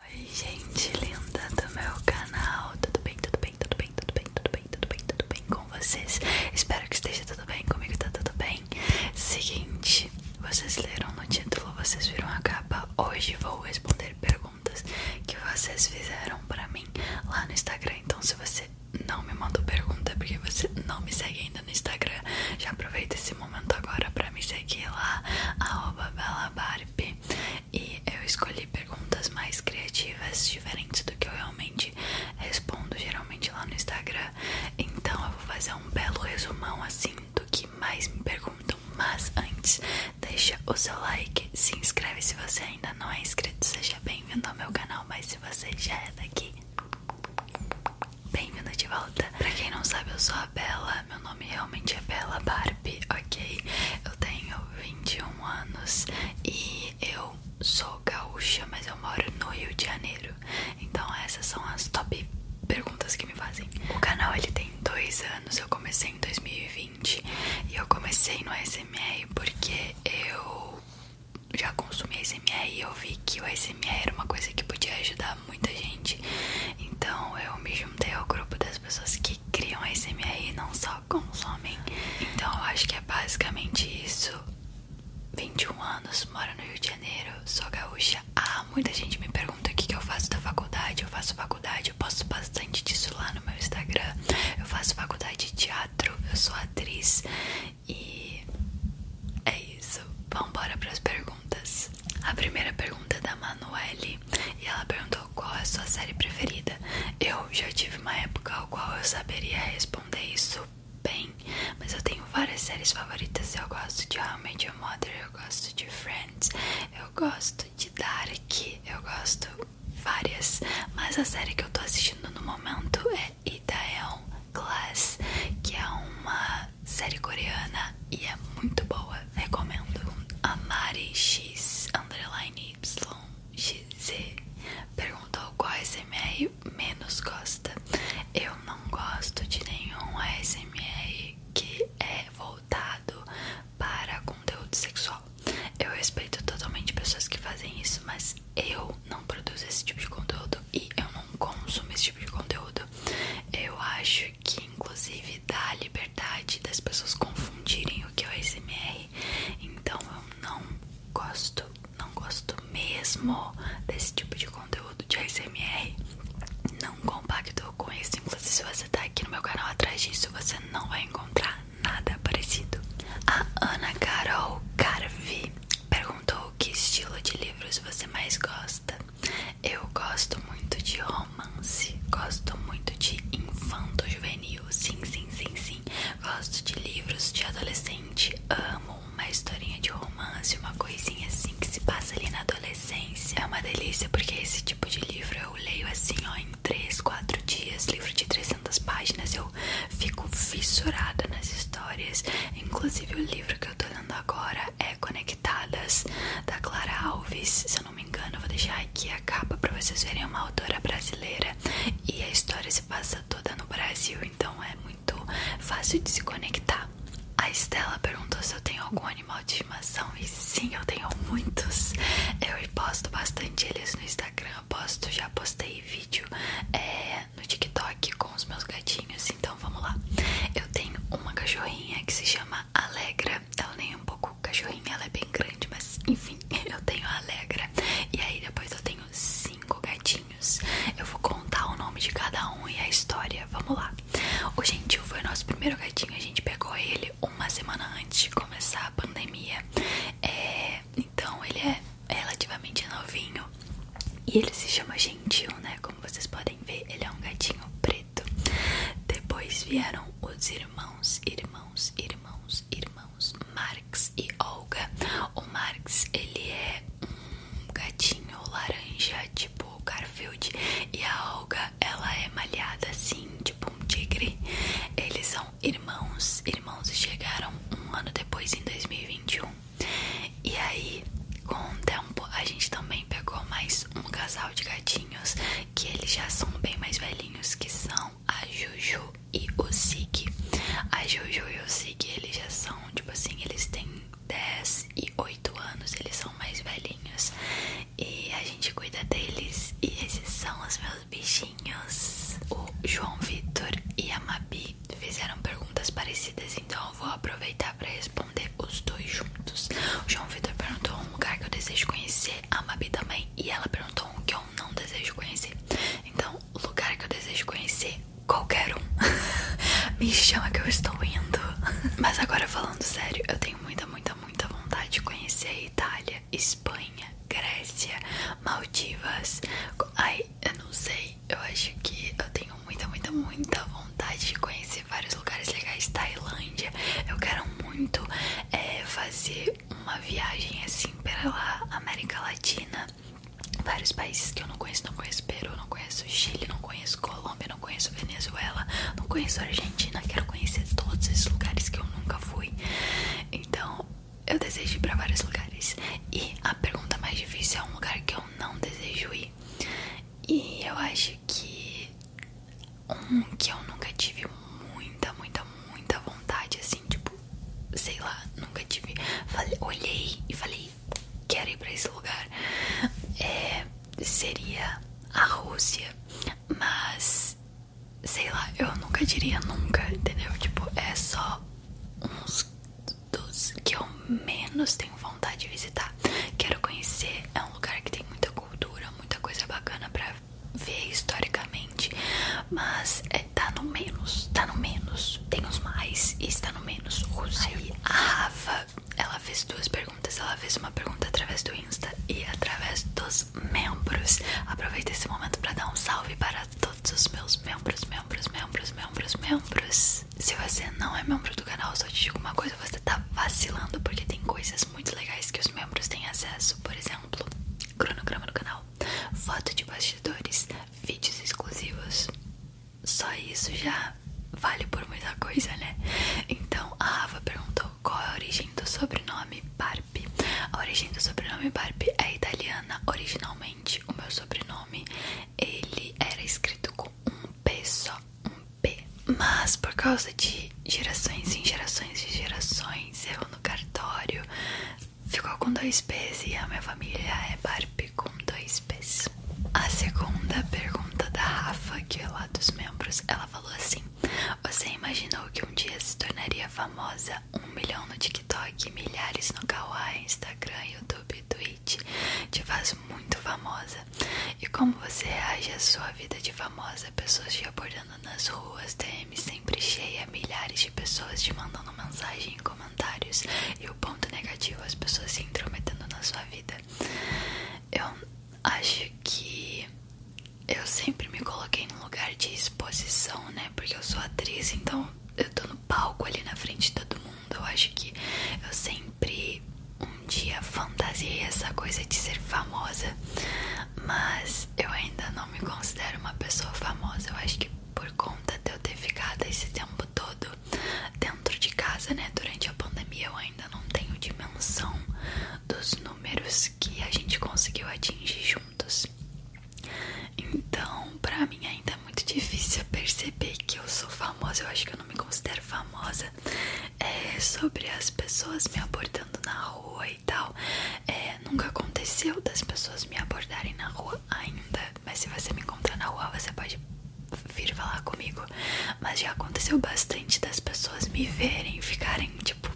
Oi gente linda do meu canal, tudo bem, tudo bem, tudo bem, tudo bem, tudo bem, tudo bem, tudo bem com vocês? Espero que esteja tudo bem, comigo tá tudo bem Seguinte, vocês leram no título, vocês viram a capa Hoje vou responder perguntas que vocês fizeram pra mim lá no Instagram Então se você não me mandou pergunta é porque você não me segue ainda no Instagram Já aproveita esse momento agora pra me seguir lá, arroba belabarbe e eu escolhi perguntas mais criativas, diferentes do que eu realmente respondo geralmente lá no Instagram. Então eu vou fazer um belo resumão assim do que mais me perguntam. Mas antes, deixa o seu like, se inscreve se você ainda não é inscrito, seja bem-vindo ao meu canal. Mas se você já é daqui, bem-vindo de volta. Pra quem não sabe, eu sou a Bela meu nome realmente é Bela Barbie, ok? Eu tenho 21 anos e eu sou gaúcha, mas eu moro no Rio de Janeiro. Então essas são as top perguntas que me fazem. O canal ele tem dois anos, eu comecei em 2020 e eu comecei no ASMR porque eu já consumi ASMR e eu vi que o ASMR era uma coisa que podia ajudar muita gente. Então eu me juntei ao grupo das pessoas que criam a SMR não só consomem. Então eu acho que é basicamente isso. 21 anos, moro no Rio de Janeiro, sou gaúcha. Ah, muita gente me pergunta o que, eu faço da faculdade. Eu faço faculdade, eu posto bastante disso lá no meu Instagram. Eu faço faculdade de teatro, eu sou atriz. E é isso. Vamos embora para as perguntas. A primeira pergunta é da Manuele e ela perguntou qual é a sua série preferida. Eu já tive uma época ao qual eu saberia responder isso bem, mas eu tenho várias séries favoritas. Eu gosto de How I Mother, eu gosto de Friends, eu gosto de Dark, eu gosto várias, mas a série que eu tô assistindo no momento é Itaeon Class, que é uma série coreana e é muito boa recomendo a Mari X underline YXZ perguntou qual ASMR menos gosta. Eu não gosto de nenhum ASMR que é voltado para conteúdo sexual. Eu respeito totalmente pessoas que fazem isso, mas eu não produzo esse tipo de conteúdo e eu não consumo esse tipo de conteúdo. Eu acho que inclusive dá a liberdade das pessoas confundirem o que é o ASMR. Então eu não gosto, não gosto mesmo desse tipo de conteúdo de ASMR. Não compacto com isso. Inclusive, se você tá aqui no meu canal atrás disso, você não vai encontrar nada parecido. A Ana Carol Carvi perguntou que estilo de livros você mais gosta. Eu gosto muito de romance, gosto muito de infanto juvenil, sim, sim, sim, sim. Gosto de livros de adolescente, amo uma historinha de romance, uma coisinha assim que se passa ali na adolescência. É uma delícia porque esse tipo de livro eu leio assim, ó, em 3, 4 dias, livro de 300 páginas, eu fico fissurada nas histórias. Inclusive o livro que eu tô lendo agora é Conectadas da Clara Alves. Se não me engano, vou deixar aqui a capa pra vocês verem uma autora brasileira e a história se passa toda no Brasil, então é muito fácil de se conectar. A Estela perguntou se eu tenho algum animal de estimação e sim, eu tenho muitos. Eu posto bastante eles no Instagram, posto, já postei vídeo é, no TikTok com os meus gatinhos, então vamos lá. Eu tenho uma cachorrinha que se chama Alegra Alegra, nem é um pouco cachorrinha, ela é bem grande, mas enfim, eu tenho a Alegra. E aí depois eu tenho cinco gatinhos. Eu vou contar o nome de cada um e a história. Vamos lá. O Gentil foi o nosso primeiro gatinho, a gente pegou ele uma semana antes de começar a pandemia. É, então ele é relativamente novinho. E ele se chama Gentil, né? Como vocês podem ver, ele é um gatinho preto depois vieram os irmãos, irmãos, irmãos, irmãos Marx e Olga. O Marx, ele é um gatinho laranja, tipo Garfield, e a Olga, ela é malhada assim, tipo um tigre. Eles são irmãos, irmãos chegaram um ano depois, em 2021. E aí, com o tempo, a gente também pegou mais um casal de gatinhos que eles já são bem mais velhinhos, que são a Juju e o Sig. A Juju e o Sig, eles já são, tipo assim, eles têm 10 e 8 anos, eles são mais velhinhos. E a gente cuida deles e esses são os meus bichinhos. O João Vitor e a Mabi fizeram perguntas parecidas, então eu vou aproveitar para responder os dois juntos. O João Vitor perguntou um lugar que eu desejo conhecer, a Mabi também. E ela perguntou um que eu não desejo conhecer. Então, lugar que eu desejo conhecer, qualquer um. Me chama que eu estou indo. Mas agora falando sério, eu tenho muita, muita, muita vontade de conhecer Itália, Espanha, Grécia, Maldivas. Ai, eu não sei. Eu acho que eu tenho muita, muita, muita vontade de conhecer vários lugares legais. Tailândia. Eu quero muito eh, fazer uma viagem assim pela América Latina, vários países que eu não conheço, não conheço Peru, não conheço Chile, não conheço Colômbia, não conheço Venezuela, não conheço Argentina, quero conhecer todos esses lugares que eu nunca fui. Então, eu desejo ir para vários lugares. E a pergunta mais difícil é um lugar que eu não desejo ir. E eu acho que um que eu nunca tive muita, muita, muita vontade, assim, tipo, sei lá, nunca tive. olhei e falei, quero ir pra esse lugar. É, seria a Rússia, mas sei lá, eu nunca diria nunca, entendeu? Tipo, é só uns dos que eu menos tenho vontade de visitar. Quero conhecer, é um lugar que tem muita cultura, muita coisa bacana pra para ver historicamente, mas é, tá no menos, tá no menos, tem os mais e está no menos. Aí a Rafa, ela fez duas perguntas, ela fez uma pergunta através do Insta e através dos membros. Aproveita esse momento para dar um salve para todos os meus membros, membros, membros, membros, membros. Se você não é membro do canal, só te digo uma coisa, você tá vacilando porque tem coisas muito legais que os membros têm acesso, por exemplo exemplo, cronograma do canal, foto de bastidores, vídeos exclusivos. Só isso já vale por muita coisa, né? Então a Rafa perguntou qual é a origem do sobrenome Barbie. A origem do sobrenome Barbie é italiana. Originalmente, o meu sobrenome ele era escrito com um P só, um P. Mas por causa de gerações em gerações de gerações. Eu no cartório ficou com dois P's e a minha família é Barbie com dois P's. A segunda pergunta da Rafa, que é lá dos membros, ela falou assim: Você imaginou que um dia se tornaria famosa? Um milhão no TikTok, milhares no Kawaii, Instagram, YouTube, Twitch. Te faz muito famosa. E como você reage à sua vida de famosa? Pessoas te abordando nas ruas, DM sempre cheia, milhares de pessoas te mandando mensagem e comentários. E o ponto negativo, as pessoas se intrometendo na sua vida. Eu acho que eu sempre me coloquei num lugar de exposição, né? Porque eu sou atriz, então eu tô no palco ali na frente de todo mundo. Eu acho que eu sempre um dia fantasiei essa coisa de ser famosa mas eu ainda não me considero uma pessoa famosa. Eu acho que por conta de eu ter ficado esse tempo todo dentro de casa, né? Durante a pandemia, eu ainda não tenho dimensão dos números que a gente conseguiu atingir juntos. Então, pra mim ainda é muito difícil perceber que eu sou famosa. Eu acho que eu não me considero famosa. É, sobre as pessoas me abordando na rua e tal. É, nunca aconteceu das pessoas me abordarem na rua ainda, mas se você me encontrar na rua, você pode vir falar comigo. Mas já aconteceu bastante das pessoas me verem, ficarem tipo,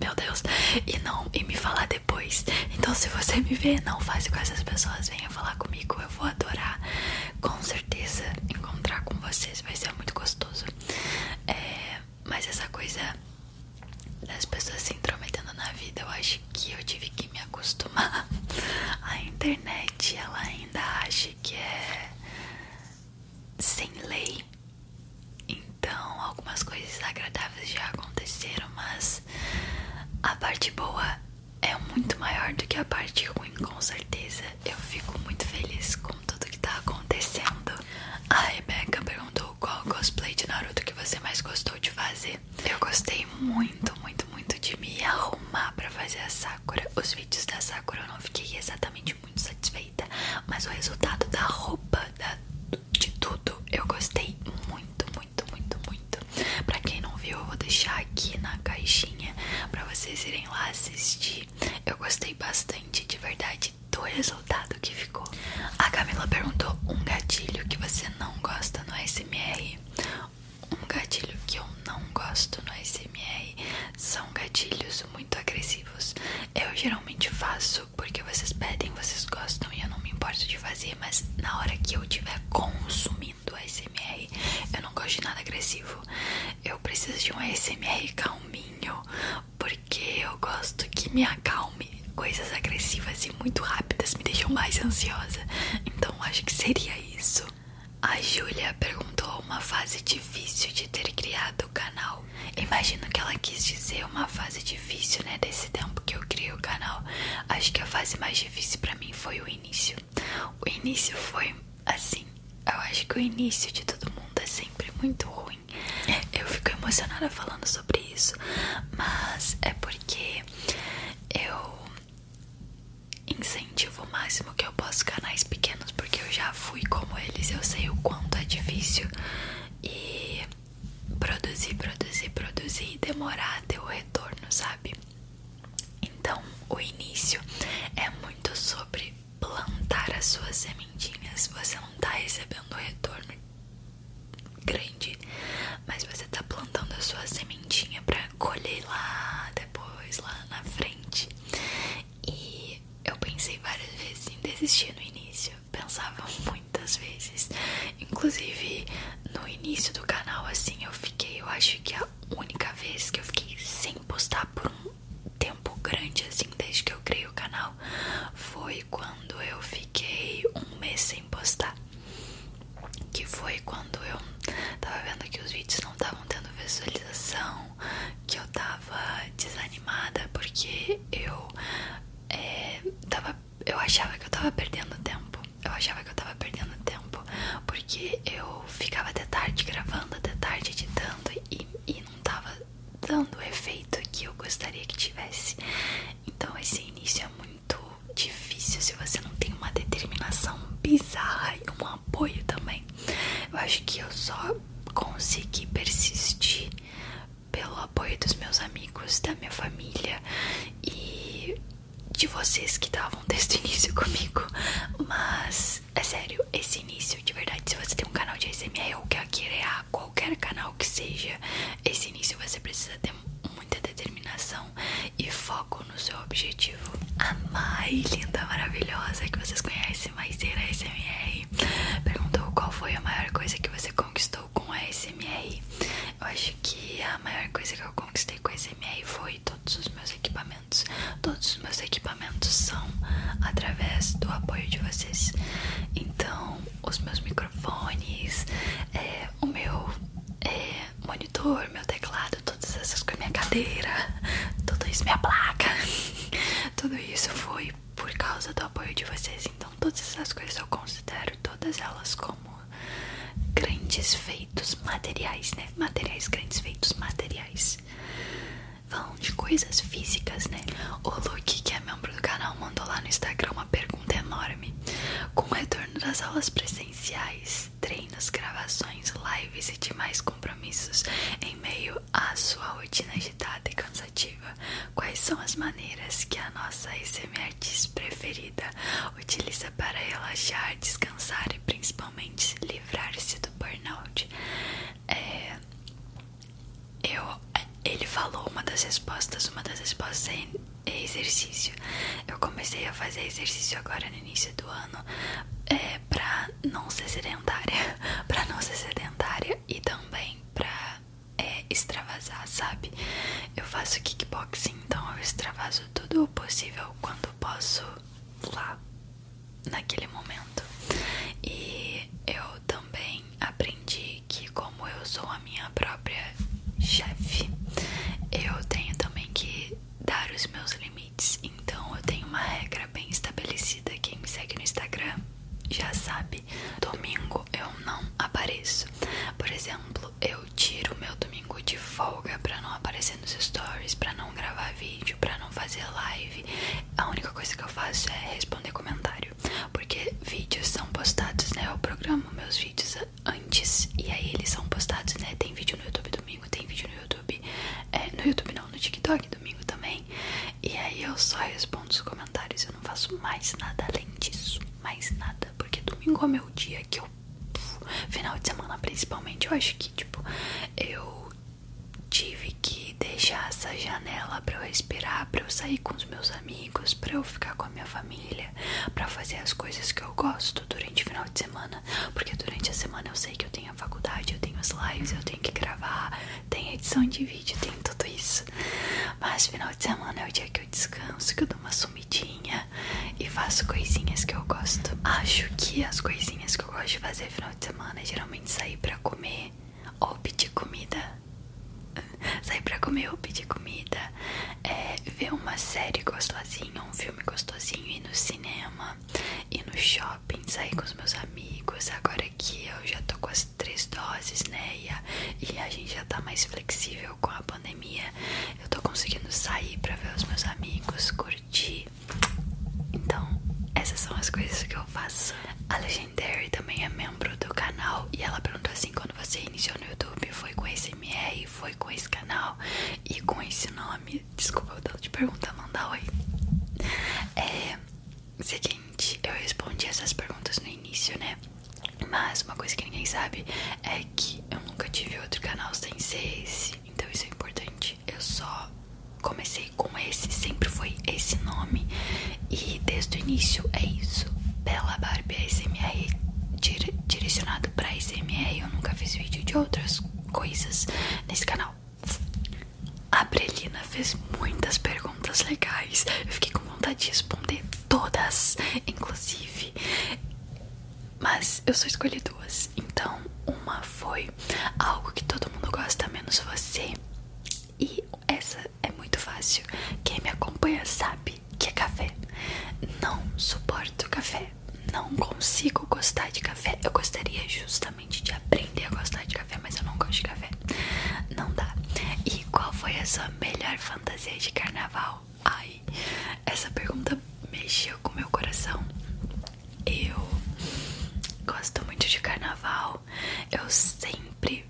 meu Deus, e não e me falar depois. Então, se você me ver, não faça com essas pessoas, venha falar comigo, eu vou adorar. Com certeza encontrar com vocês vai ser muito gostoso. É, mas essa coisa das pessoas se intrometendo na vida, eu acho que eu tive que me acostumar. A internet, ela ainda acha que é sem lei. Então, algumas coisas agradáveis já aconteceram, mas a parte boa é muito maior do que a parte ruim, com certeza. Eu fico muito feliz tudo que tá acontecendo. A Rebecca perguntou qual cosplay de Naruto que você mais gostou de fazer. Eu gostei muito, muito, muito de me arrumar pra fazer a Sakura. Os vídeos da Sakura eu não fiquei exatamente muito satisfeita, mas o resultado da roupa, da, de tudo, eu gostei muito, muito, muito, muito. Pra quem não viu, eu vou deixar aqui na caixinha pra vocês irem lá assistir. Eu gostei bastante, de verdade do resultado que ficou. A Camila perguntou um gatilho que você não gosta no SMR. Um gatilho que eu não gosto no SMR são gatilhos muito agressivos. Eu geralmente faço porque vocês pedem, vocês gostam e eu não me importo de fazer, mas na hora que eu estiver consumindo SMR, eu não gosto de nada agressivo. Eu preciso de um SMR calminho, porque eu gosto que me acalme. Coisas agressivas e muito rápidas me deixam mais ansiosa. Então acho que seria isso. A Julia perguntou uma fase difícil de ter criado o canal. Imagino que ela quis dizer uma fase difícil, né, desse tempo que eu criei o canal. Acho que a fase mais difícil para mim foi o início. O início foi assim, eu acho que o início de todo mundo é sempre muito ruim eu fico emocionada falando sobre isso, mas é porque eu incentivo o máximo que eu posso canais pequenos, porque eu já fui como eles, eu sei o quanto é difícil e produzir, produzir, produzir e demorar até o retorno, sabe? Então, o início é muito sobre plantar as suas sementinhas. Você não tá recebendo o retorno grande, mas você tá plantando a sua sementinha para colher lá depois, lá na frente. E eu pensei várias vezes em desistir no início, pensava muitas vezes, inclusive no início do canal, assim eu fiquei, eu acho que a única vez que eu fiquei sem postar por um tempo grande, assim, desde que eu criei o canal, foi quando eu fiquei um mês sem postar. Que foi quando eu tava vendo que os vídeos não estavam tendo visualização, que eu tava desanimada porque eu é, tava, eu achava que eu tava perdendo tempo. Eu achava que eu tava perdendo tempo porque eu ficava até tarde gravando, até tarde editando e, e não tava dando o efeito que eu gostaria que tivesse. Então esse início é muito difícil se você não tem uma determinação bizarra e um apoio também. Eu acho que eu só consegui persistir pelo apoio dos meus amigos, da minha família e de vocês que estavam desde o início comigo. Mas é sério, esse início de verdade, se você tem um canal de ASMR ou quer criar qualquer canal profissional que seja, esse início você precisa ter muita determinação e foco no seu objetivo. A mais linda, maravilhosa, que vocês conhecem, mais Maiseira SMR, perguntou qual foi a maior coisa que você conquistou com a SMR. Eu acho que a maior coisa que eu conquistei com a SMR foi todos os meus equipamentos. Todos os meus equipamentos são através do apoio de vocês. Então, os meus microfones, é, o meu é, monitor, meu teclado, todas essas coisas, minha cadeira, tudo isso, minha placa, tudo isso foi por causa do apoio de vocês. Então, todas essas coisas eu considero todas elas como grandes feitos materiais, né? Materiais, grandes feitos materiais. Falando de coisas físicas, né? O Luke, que é membro do canal, mandou lá no Instagram uma pergunta enorme. Com o retorno das aulas presenciais, treinos, gravações, lives e demais compromissos em meio à sua rotina agitada e cansativa, quais são as maneiras que a nossa ASMR artista preferida utiliza para relaxar, descansar e principalmente livrar-se do burnout? É, eu ele falou uma das respostas, uma das respostas é exercício. Eu comecei a fazer exercício agora no início do ano, é, pra não ser sedentária, pra não ser sedentária e também pra é, extravasar, sabe? Eu faço kickboxing, então eu extravaso tudo o possível quando posso lá naquele momento. E eu também aprendi que, como eu sou a minha própria chefe, eu tenho também que dar os meus limites. Então, eu tenho uma regra bem estabelecida. Quem me segue no Instagram já sabe: domingo eu não apareço. Por exemplo, eu tiro meu domingo de folga para não aparecer nos stories, para não gravar vídeo, para não fazer live. A única coisa que eu faço é responder comentário porque vídeos são postados, né? Eu programo meus vídeos antes e aí eles são postados, né? Tem vídeo no YouTube domingo, tem vídeo no YouTube, é, no YouTube não, no TikTok domingo também. E aí eu só respondo os comentários, eu não faço mais nada além disso, mais nada, porque domingo é meu dia que eu final de semana principalmente, eu acho que tipo eu tive que deixar essa janela para eu respirar, para eu sair com os meus amigos, para eu ficar com a minha família, para fazer as coisas que eu gosto durante o final de semana, porque durante a semana eu sei que eu tenho a faculdade, eu tenho as lives, eu tenho que gravar, tem edição de vídeo, tem tudo isso. Mas final de semana é o dia que eu descanso, que eu dou uma sumidinha e faço coisinhas que eu gosto. Acho que as coisinhas que eu gosto de fazer final de semana é geralmente sair para comer ou pedir comida, sair pra comer ou pedir comida, é, ver uma série gostosinha, um filme gostosinho, ir no cinema, ir no shopping, sair com os meus amigos. Agora que eu já tô com as três doses, né? E a, gente já tá mais flexível com a pandemia, eu tô conseguindo sair pra ver os meus amigos, curtir. Então, essas são as coisas que eu faço. Alexandre e também é membro do canal e ela perguntou assim: quando você iniciou no YouTube, foi com esse MR, foi com esse canal e com esse nome? Desculpa, eu te perguntar, mandar oi. É. Seguinte, eu respondi essas perguntas no início, né? Mas uma coisa que ninguém sabe é que eu nunca tive outro canal sem ser esse, então isso é importante. Eu só comecei com esse, sempre foi esse nome. E desde o início é isso. Bela Barbie é ASMR dire, direcionado pra ASMR. Eu nunca fiz vídeo de outras coisas nesse canal. A Brelina fez muitas perguntas legais. Eu fiquei com vontade de responder todas, inclusive. Mas eu só escolhi duas. Então, uma foi algo que todo mundo gosta, menos você. E essa é muito fácil. Quem me acompanha sabe que é café. Não suporto café. Não consigo gostar de café. Eu gostaria justamente de aprender a gostar de café, mas eu não gosto de café. Não dá. E qual foi a sua melhor fantasia de carnaval? Ai, essa pergunta mexeu com meu coração. Eu gosto muito de carnaval. Eu sempre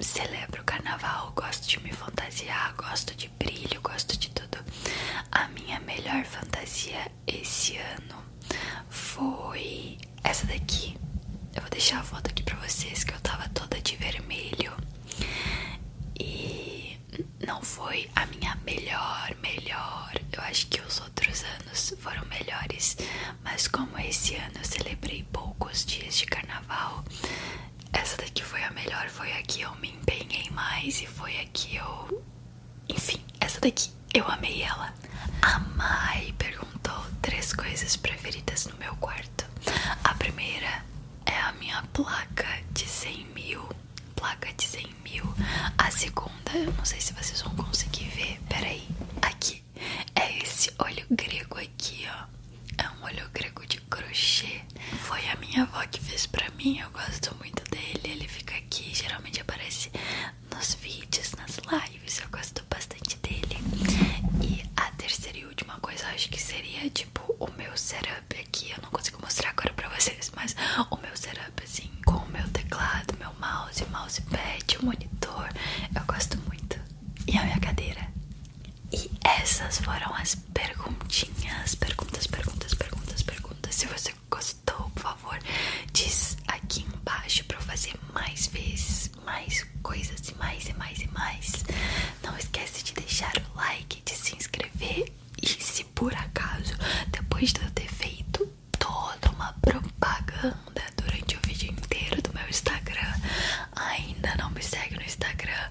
celebro o carnaval, gosto de me fantasiar, gosto de brilho, gosto de tudo. A minha melhor fantasia esse ano foi essa daqui. Eu vou deixar a foto aqui pra vocês que eu tava toda de vermelho. E não foi a minha melhor, melhor. Eu acho que os outros anos foram melhores, mas como esse ano eu celebrei poucos dias de carnaval, essa daqui foi a melhor, foi a que eu me empenhei mais e foi a que eu. Enfim, essa daqui eu amei ela. A Mai perguntou três coisas preferidas no meu quarto. A primeira é a minha placa de 100 mil. Placa de 100 mil. A segunda, eu não sei se vocês vão conseguir ver, peraí. Aqui é esse olho grego aqui, ó. É um olho grego de crochê. Foi a minha avó que fez pra mim. Eu gosto muito dele. Ele fica aqui. Geralmente aparece nos vídeos, nas lives. Eu gosto bastante dele. E a terceira e última coisa, acho que seria tipo o meu setup aqui. Eu não consigo mostrar agora pra vocês, mas o meu setup assim, com o meu teclado, meu mouse, mousepad, o monitor. Eu gosto muito. E a minha cadeira. E essas foram as perguntinhas, perguntas, perguntas, perguntas, perguntas. Se você gostou, por favor, diz aqui embaixo para eu fazer mais vezes, mais coisas e mais e mais e mais. Não esquece de deixar o like, de se inscrever e se por acaso depois de eu ter feito toda uma propaganda durante o vídeo inteiro do meu Instagram, ainda não me segue no Instagram,